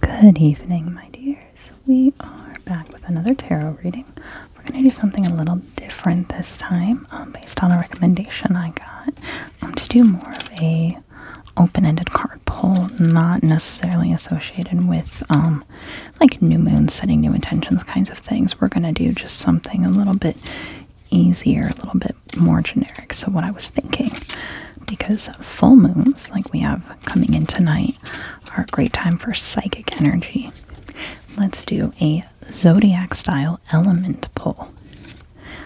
Good evening, my dears. We are back with another tarot reading. We're going to do something a little different this time, um, based on a recommendation I got, um, to do more of a open-ended card pull, not necessarily associated with um, like new moon, setting new intentions kinds of things. We're going to do just something a little bit easier, a little bit more generic. So, what I was thinking, because full moons, like we have coming in tonight, are a great time for psychic energy. Let's do a zodiac style element pull.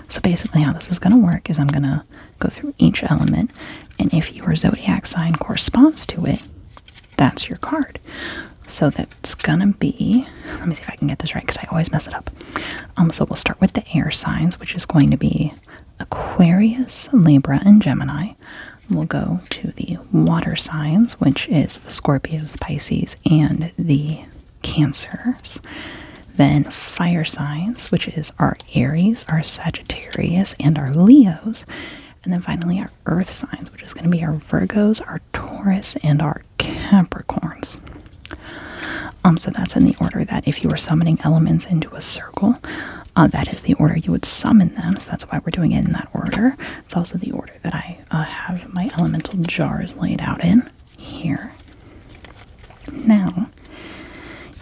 So, basically, how this is going to work is I'm going to go through each element, and if your zodiac sign corresponds to it, that's your card. So that's gonna be, let me see if I can get this right because I always mess it up. Um, so we'll start with the air signs, which is going to be Aquarius, Libra, and Gemini. We'll go to the water signs, which is the Scorpios, Pisces, and the Cancers. Then fire signs, which is our Aries, our Sagittarius, and our Leos. And then finally our earth signs, which is going to be our Virgos, our Taurus, and our Capricorns. Um, so that's in the order that if you were summoning elements into a circle, uh, that is the order you would summon them. So that's why we're doing it in that order. It's also the order that I uh, have my elemental jars laid out in here. Now,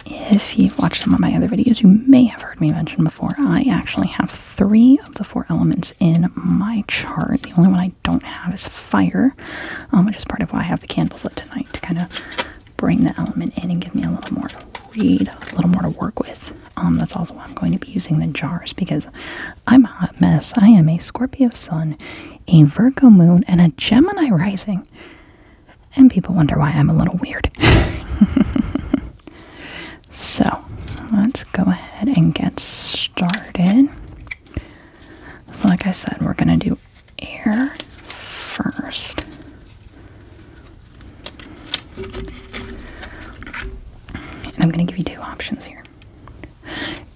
if you've watched some of my other videos, you may have heard me mention before, I actually have three of the four elements in my chart. The only one I don't have is fire, um, which is part of why I have the candles lit tonight to kind of bring the element in and give me a little more to read, a little more to work with. Um, that's also why I'm going to be using the jars because I'm a hot mess. I am a Scorpio sun, a Virgo moon, and a Gemini rising. And people wonder why I'm a little weird. so let's go ahead and get started. So, like I said, we're going to do Air first. And I'm going to give you two options here.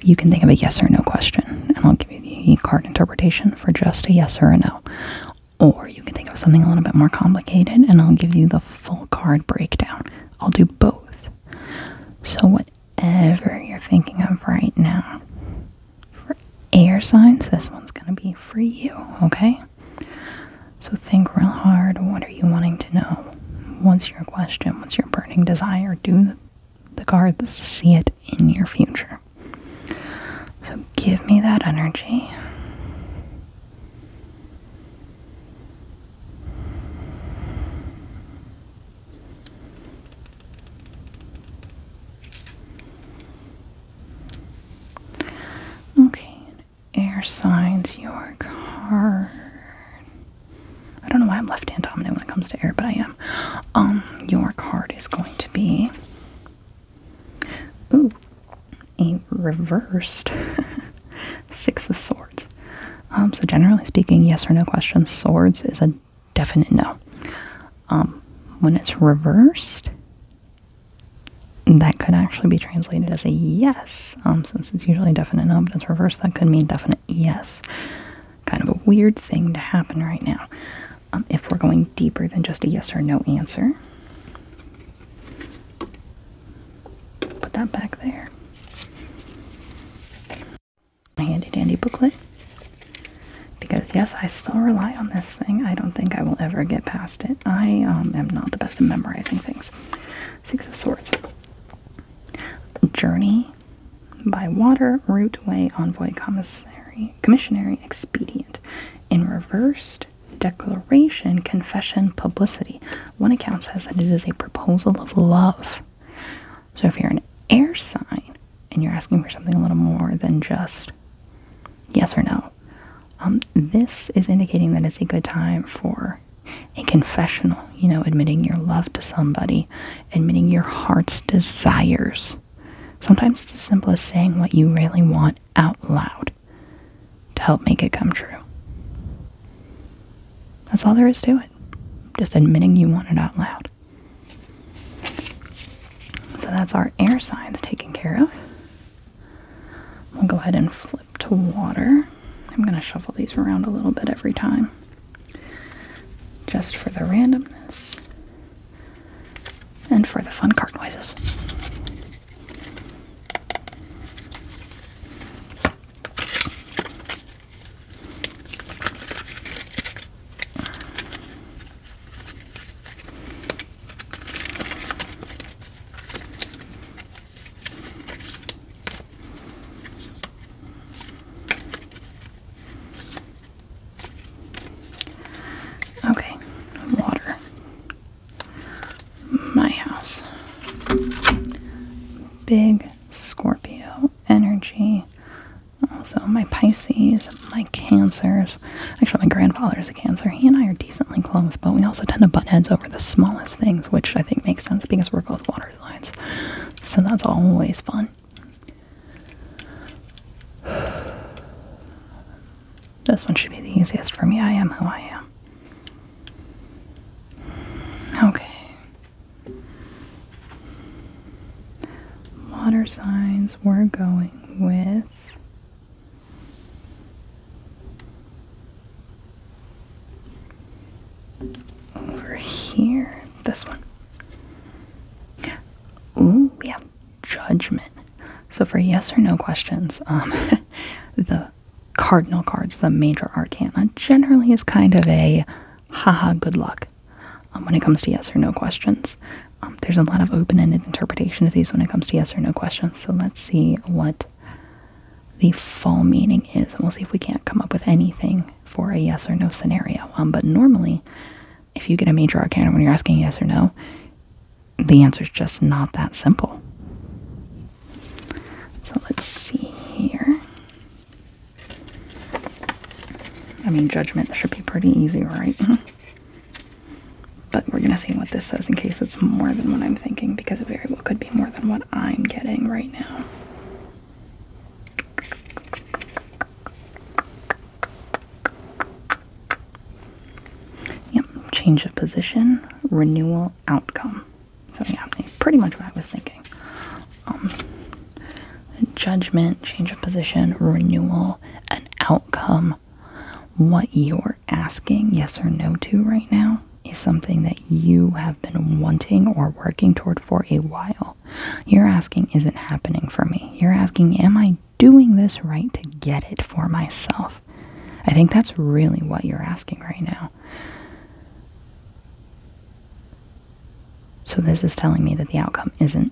You can think of a yes or no question, and I'll give you the card interpretation for just a yes or a no. Or you can think of something a little bit more complicated, and I'll give you the full card breakdown. I'll do both. So, whatever you're thinking of right now, for air signs, this one's going to be for you, okay? So think real hard. What are you wanting to know? What's your question? What's your burning desire? Do the cards see it in your future? So give me that energy. Okay, air signs your card. I don't know why I'm left-hand dominant when it comes to air, but I am. Um, your card is going to be ooh, a reversed six of swords. Um, so generally speaking, yes or no questions. Swords is a definite no. Um, when it's reversed, that could actually be translated as a yes, um, since it's usually definite no, but it's reversed, that could mean definite yes. Kind of a weird thing to happen right now. Um, if we're going deeper than just a yes or no answer, put that back there handy dandy booklet because yes i still rely on this thing i don't think i will ever get past it i um, am not the best at memorizing things six of swords journey by water route way envoy commissary commissionary expedient in reversed declaration confession publicity one account says that it is a proposal of love so if you're an air sign and you're asking for something a little more than just yes or no, um, this is indicating that it's a good time for a confessional, you know, admitting your love to somebody, admitting your heart's desires. Sometimes it's as simple as saying what you really want out loud to help make it come true. That's all there is to it. Just admitting you want it out loud. So that's our air signs taken care of. We'll go ahead and flip to water. I'm going to shuffle these around a little bit every time just for the randomness and for the fun card noises. Okay, water. My house. Big Scorpio energy also, my Pisces, my Cancers. Actually, my grandfather is a Cancer. He and I are decently close, but we also tend to butt heads over the smallest things, which I think makes sense because we're both water signs. So that's always fun. This one should be the easiest for me. I am who I am. Okay. Water signs we're going with over here. This one. Ooh, we have judgment. So for yes or no questions, um, the cardinal cards, the major arcana, generally is kind of a haha good luck. Um, when it comes to yes or no questions. Um, there's a lot of open-ended interpretation to these when it comes to yes or no questions. So let's see what the full meaning is, and we'll see if we can't come up with anything for a yes or no scenario. Um, but normally, if you get a major arcana when you're asking yes or no, the answer is just not that simple. So let's see here. I mean, judgment should be pretty easy, right? but we're gonna see what this says in case it's more than what I'm thinking, because it very well could be more than what I'm getting right now. Yep, change of position, renewal outcome. So, yeah, pretty much what I was thinking. Um, judgment, change of position, renewal, an outcome. What you're asking yes or no to right now is something that you have been wanting or working toward for a while. Your asking, is not happening for me? Your asking, am I doing this right to get it for myself? I think that's really what you're asking right now. So, this is telling me that the outcome isn't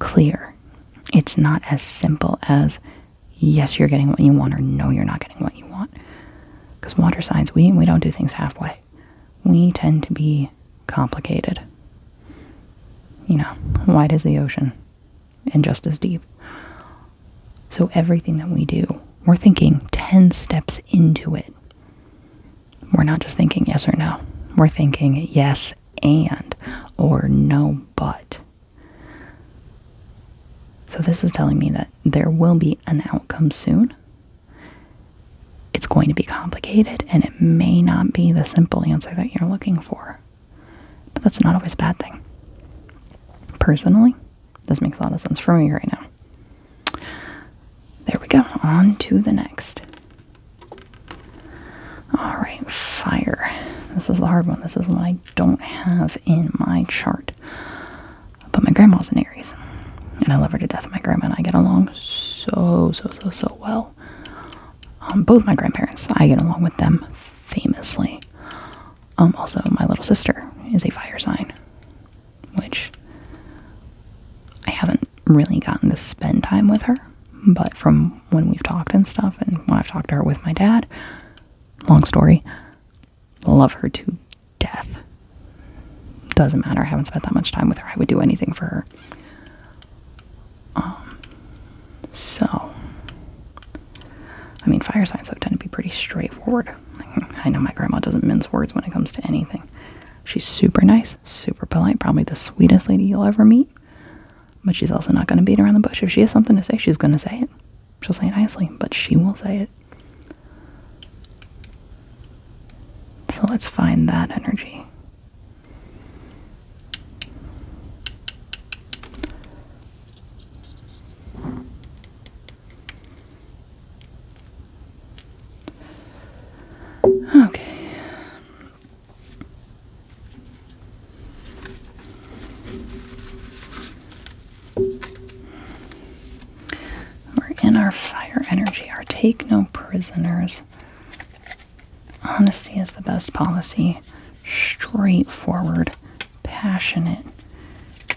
clear. It's not as simple as yes, you're getting what you want, or no, you're not getting what you want. Because water signs, we, we don't do things halfway. We tend to be complicated. You know, wide as the ocean and just as deep. So, everything that we do, we're thinking 10 steps into it. We're not just thinking yes or no. We're thinking yes and or no but. So this is telling me that there will be an outcome soon. It's going to be complicated and it may not be the simple answer that you're looking for. But that's not always a bad thing. Personally, this makes a lot of sense for me right now. There we go. On to the next. Alright, fire. This is the hard one. This is what I don't have in my chart. But my grandma's an Aries. And I love her to death. My grandma and I get along so, so, so, so well. Um, both my grandparents, I get along with them famously. Um, also, my little sister is a fire sign which I haven't really gotten to spend time with her, but from when we've talked and stuff, and when I've talked to her with my dad, long story, love her to death. Doesn't matter, I haven't spent that much time with her. I would do anything for her. Um, so, I mean, fire signs tend to be pretty straightforward. I know my grandma doesn't mince words when it comes to anything. She's super nice, super polite, probably the sweetest lady you'll ever meet. But she's also not going to beat around the bush. If she has something to say, she's going to say it. She'll say it nicely, but she will say it. So let's find that energy. Okay. We're in our fire energy, our take no prisoners. Honesty is the best policy. Straightforward, passionate,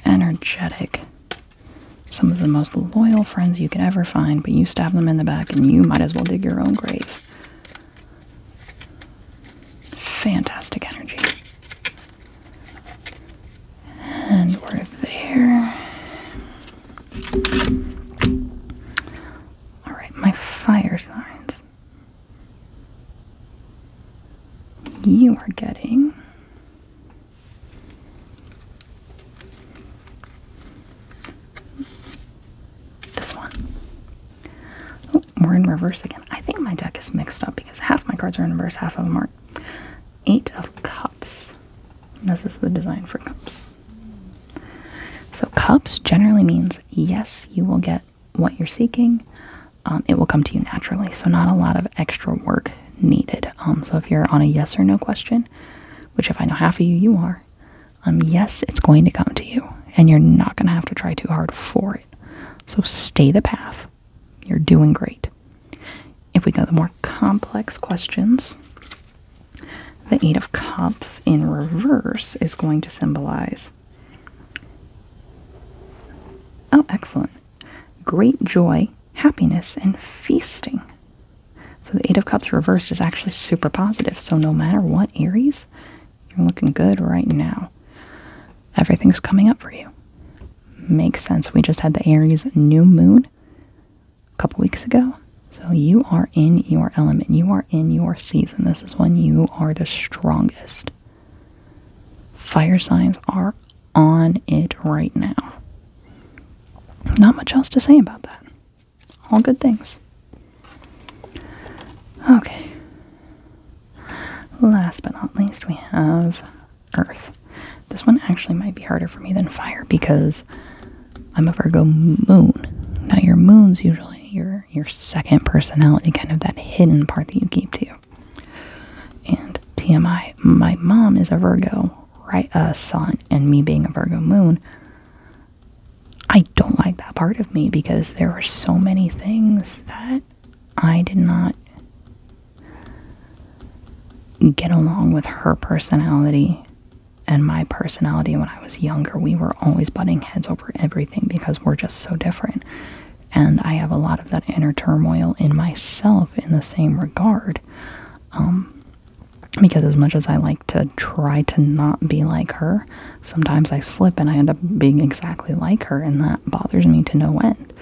energetic, some of the most loyal friends you could ever find, but you stab them in the back and you might as well dig your own grave. Fantastic energy. And we're there. Alright, my fire signs. You are getting this one. Oh, we're in reverse again. I think my deck is mixed up because half my cards are in reverse, half of them aren't. Eight of Cups. This is the design for cups. So, cups generally means yes, you will get what you're seeking. Um, it will come to you naturally, so not a lot of extra work needed. Um, so if you're on a yes or no question, which if I know half of you, you are, um, yes, it's going to come to you, and you're not going to have to try too hard for it. So stay the path. You're doing great. If we go to more complex questions, the Eight of Cups in reverse is going to symbolize. Oh, excellent. Great joy happiness, and feasting. So the Eight of Cups reversed is actually super positive. So no matter what, Aries, you're looking good right now. Everything's coming up for you. Makes sense. We just had the Aries new moon a couple weeks ago. So you are in your element. You are in your season. This is when you are the strongest. Fire signs are on it right now. Not much else to say about that. All good things. Okay. Last but not least, we have Earth. This one actually might be harder for me than fire because I'm a Virgo moon. Now your moon's usually your your second personality, kind of that hidden part that you keep to. And TMI, my mom is a Virgo, right? A sun, and me being a Virgo moon. I don't like that part of me because there were so many things that I did not get along with her personality and my personality when I was younger. We were always butting heads over everything because we're just so different. And I have a lot of that inner turmoil in myself in the same regard. Um, because as much as I like to try to not be like her, sometimes I slip and I end up being exactly like her, and that bothers me to no end.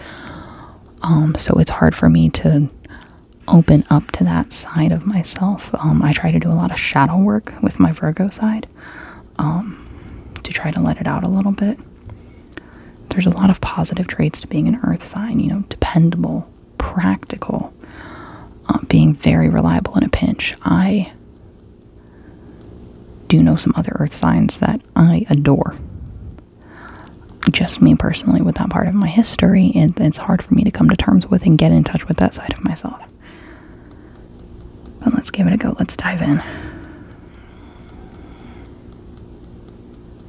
Um, so it's hard for me to open up to that side of myself. Um, I try to do a lot of shadow work with my Virgo side to try to let it out a little bit. There's a lot of positive traits to being an earth sign, you know, dependable, practical, um, being very reliable in a pinch. I do know some other earth signs that I adore. Just me personally, with that part of my history, and it's hard for me to come to terms with and get in touch with that side of myself. But let's give it a go. Let's dive in.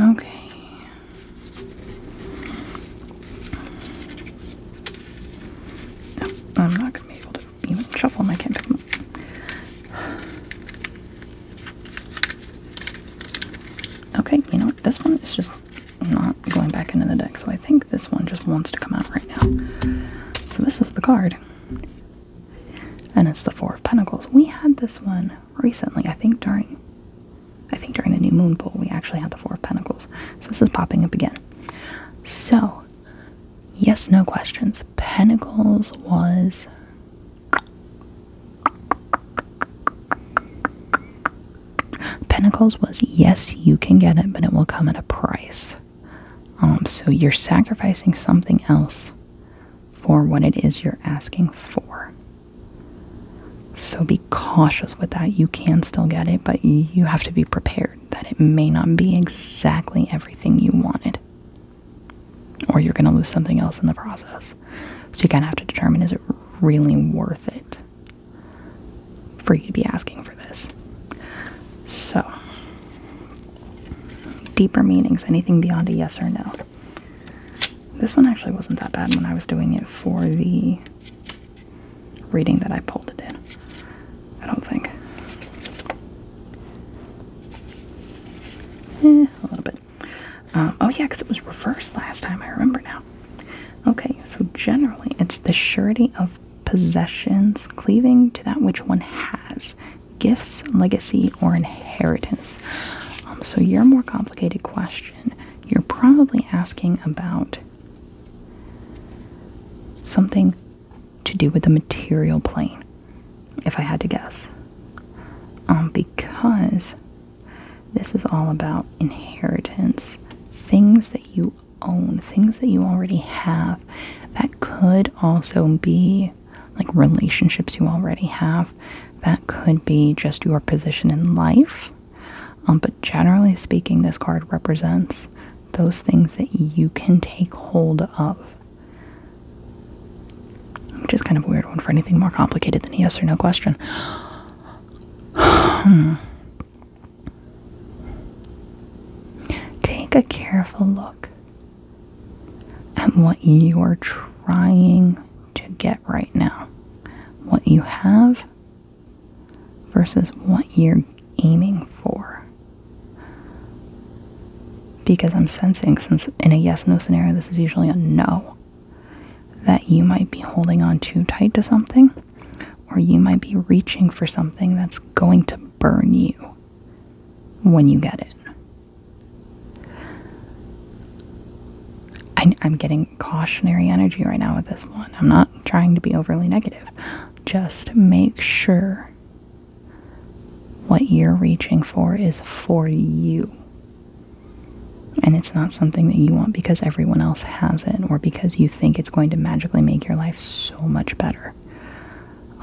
Okay. I'm not gonna be able to even shuffle them. I Okay, you know what? This one is just not going back into the deck, so I think this one just wants to come out right now. So this is the card and it's the Four of Pentacles. We had this one recently, I think during I think during the new moon pool we actually had the Four of Pentacles. So this is popping up again. So yes, no questions. Pentacles was Pentacles was yes, you can get it, but it will come at a price. Um, so you're sacrificing something else for what it is you're asking for. So be cautious with that. You can still get it, but you have to be prepared that it may not be exactly everything you wanted. Or you're going to lose something else in the process. So you kind of have to determine is it really worth it for you to be asking for this? So deeper meanings, anything beyond a yes or no. This one actually wasn't that bad when I was doing it for the reading that I pulled it in. I don't think. Eh, a little bit. Um, oh, yeah, because it was reversed last time. I remember now. Okay, so generally it's the surety of possessions cleaving to that which one has gifts, legacy, or inheritance. Um, so, your more complicated question, you're probably asking about something to do with the material plane, if I had to guess. Um, because this is all about inheritance, things that you own, things that you already have. That could also be like relationships you already have. That could be just your position in life. Um, but generally speaking, this card represents those things that you can take hold of. Which is kind of a weird one for anything more complicated than a yes or no question. Take a careful look and what you are trying to get right now, what you have versus what you're aiming for. Because I'm sensing, since in a yes no scenario, this is usually a no, that you might be holding on too tight to something, or you might be reaching for something that's going to burn you when you get it. I, am getting cautionary energy right now with this one. I'm not trying to be overly negative. Just make sure what you're reaching for is for you. And it's not something that you want because everyone else has it or because you think it's going to magically make your life so much better.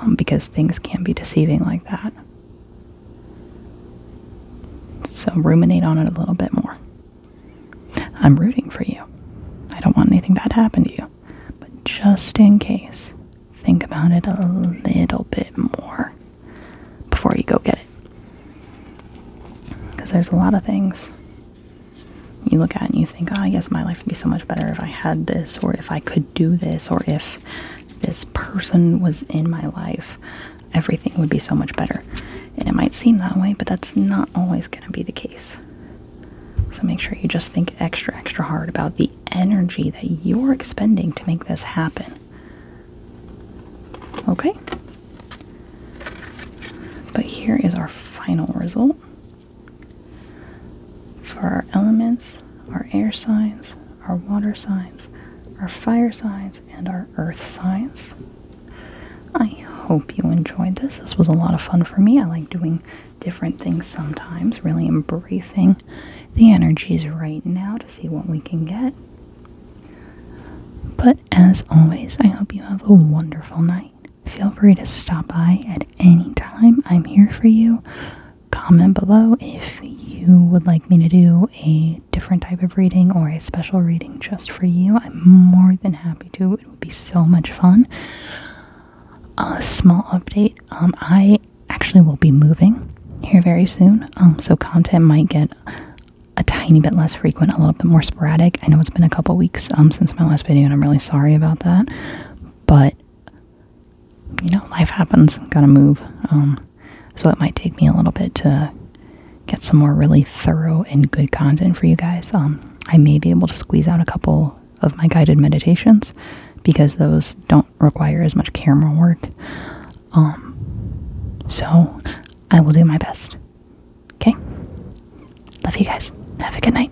Um, because things can be deceiving like that. So ruminate on it a little bit more. I'm rooting for you. I don't want anything bad to happen to you. But just in case, think about it a little bit more before you go get it. Because there's a lot of things you look at and you think, oh, yes, my life would be so much better if I had this or if I could do this or if this person was in my life, everything would be so much better. And it might seem that way, but that's not always going to be the case. So make sure you just think extra, extra hard about the energy that you're expending to make this happen. Okay? But here is our final result for our elements, our air signs, our water signs, our fire signs, and our earth signs. I hope you enjoyed this. This was a lot of fun for me. I like doing different things sometimes, really embracing the energies right now to see what we can get. But as always, I hope you have a wonderful night. Feel free to stop by at any time. I'm here for you. Comment below if you would like me to do a different type of reading or a special reading just for you. I'm more than happy to. It would be so much fun. A small update um, I actually will be moving here very soon, um, so content might get a tiny bit less frequent, a little bit more sporadic. I know it's been a couple weeks um, since my last video, and I'm really sorry about that. But you know, life happens, gotta move. Um, so it might take me a little bit to get some more really thorough and good content for you guys. Um, I may be able to squeeze out a couple of my guided meditations because those don't require as much camera work. Um, so I will do my best. Okay? Love you guys. Have a good night.